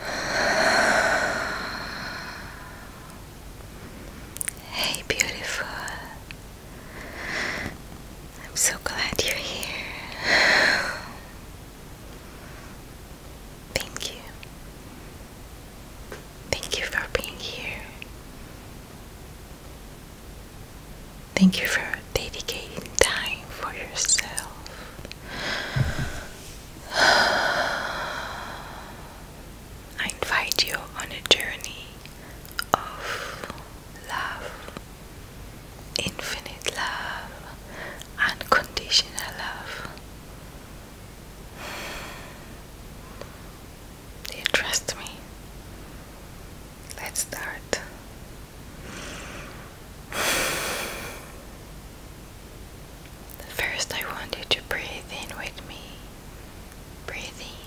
Hey, beautiful. I'm so glad you're here. Thank you. Thank you for being here. Thank you for dedicating time for yourself. I invite you on a journey of love, infinite love, unconditional love. Do you trust me? Let's start. First, I want you to breathe in with me. Breathe in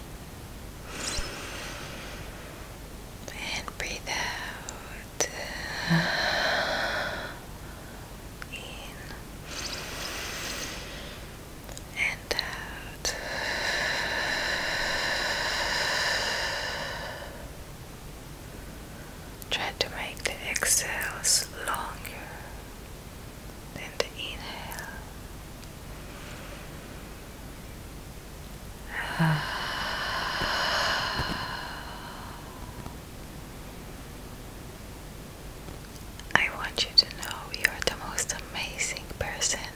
and breathe out. In and out. Try to make the exhales longer than the inhale. I want you to know you're the most amazing person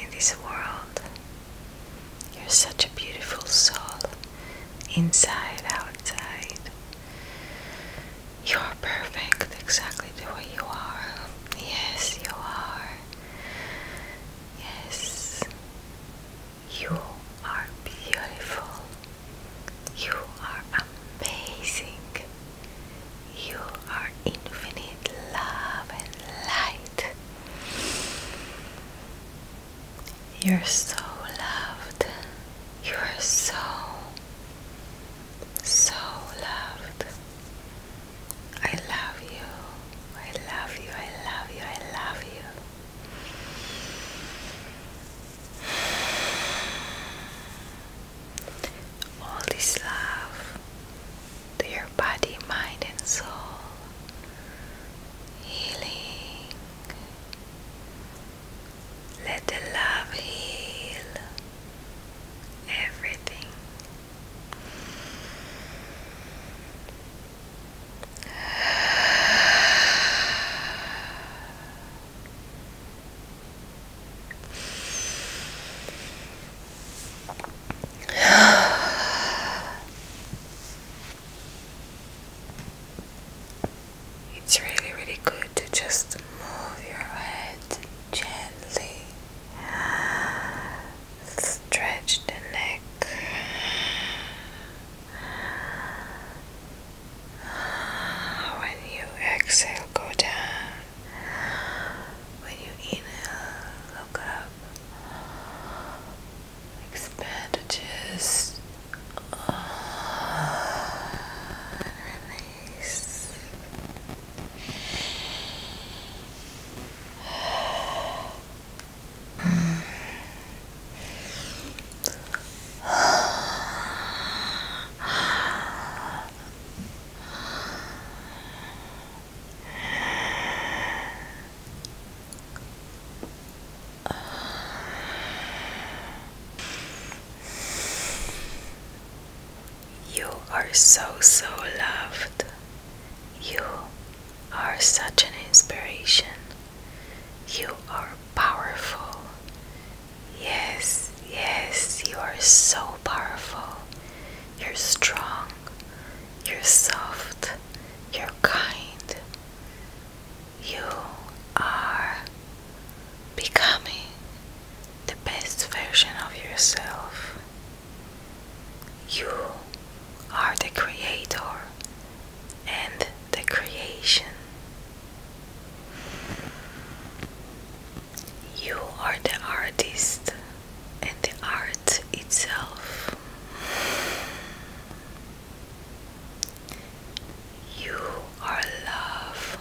in this world. You're such a beautiful soul, inside, outside. You are perfect, exactly the way you are. Yes, you are. Yes, you are beautiful. You are amazing. You are infinite love and light. You're so loved. You are so, so loved. I love you. I love you. I love you. I love you. All this love to your body, mind, and soul healing. Let the love heal everything. It's really, really good to just move your head gently, stretch the neck. When you exhale, go down. When you inhale, look up expand just release. You are so, so loved. You are such an inspiration. You are powerful. Yes, yes, you are so powerful. You're strong. You're soft. You're kind. You are becoming the best version of yourself. You are the creator and the creation. You are the artist and the art itself. You are love.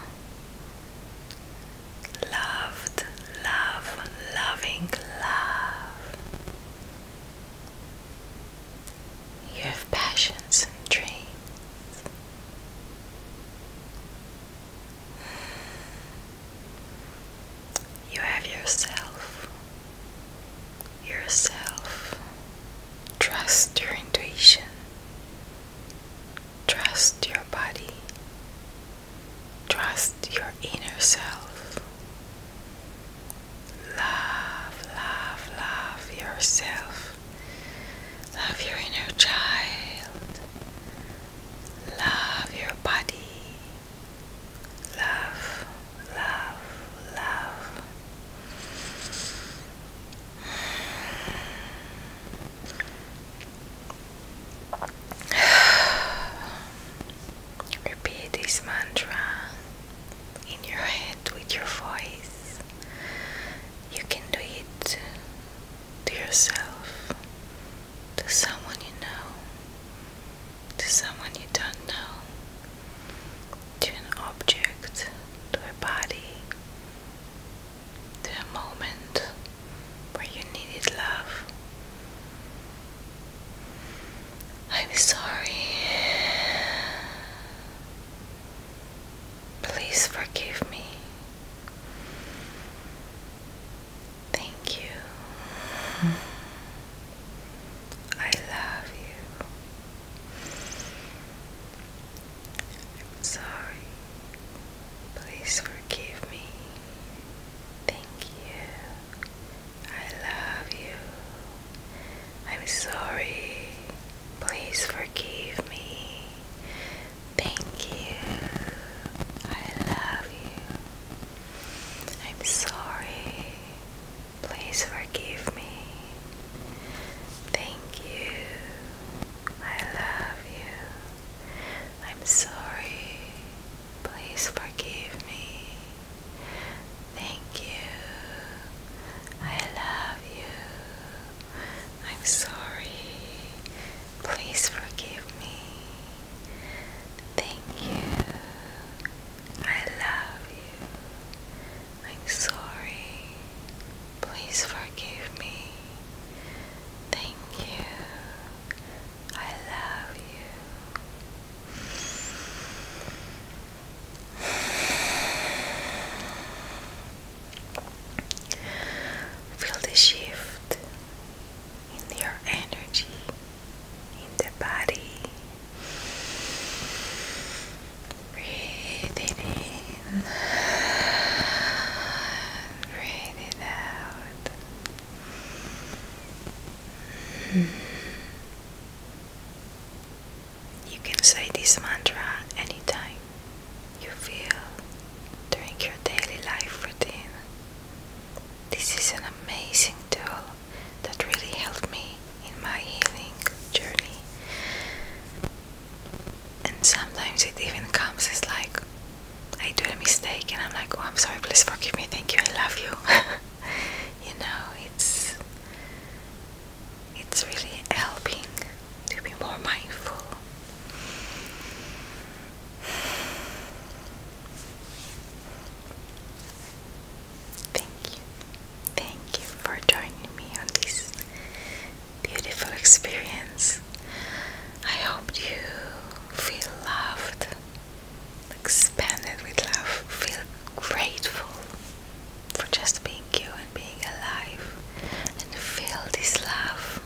Loved, love, loving love. You have passions and dreams. You have yourself, yourself. Trust your intuition. Trust your body. Trust your inner self. Love, love, love yourself. Love your inner child. Love your body love, love, love. Repeat this mantra in your head with your voice. You can do it to yourself to someone you know, to someone you don't know, to an object, to a body, to a moment where you needed love. I'm sorry. Please forgive me. Thank you. I love you. I'm sorry. Please forgive me. Thank you. I love you. I'm sorry. Please forgive me. Thank you. I love you. I'm sorry. Please forgive me. Thank you. I love you. I'm sorry. Please forgive me. Thank you. I love you. I'm sorry. Please forgive me. Thank you. I love you. I'm sorry. Please forgive me. Thank you. I love you. Feel the shift in your energy, in the body. Breathe it in, breathe it out. You can say this mantra anytime you feel during your daily life routine. This is an amazing tool that really helped me in my healing journey. And sometimes it even comes as like I do a mistake and I'm like, oh, I'm sorry, please forgive me, thank you, I love you. you know, it's it's really helping to be more mindful. Thank you. Thank you for joining me on this beautiful experience. I hope you feel loved, expanded with love, feel grateful for just being thank you and being alive and feel this love.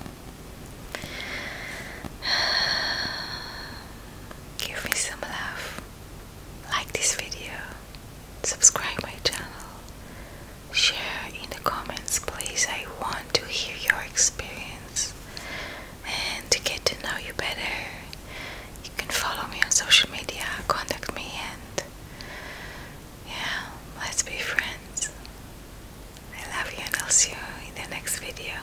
Give me some love. Like this video. Subscribe my channel. Share in the comments please. I want to hear your experience and to get to know you better. You can follow me on social media, contact me and yeah, let's be friends. I love you and I'll see you in the next video.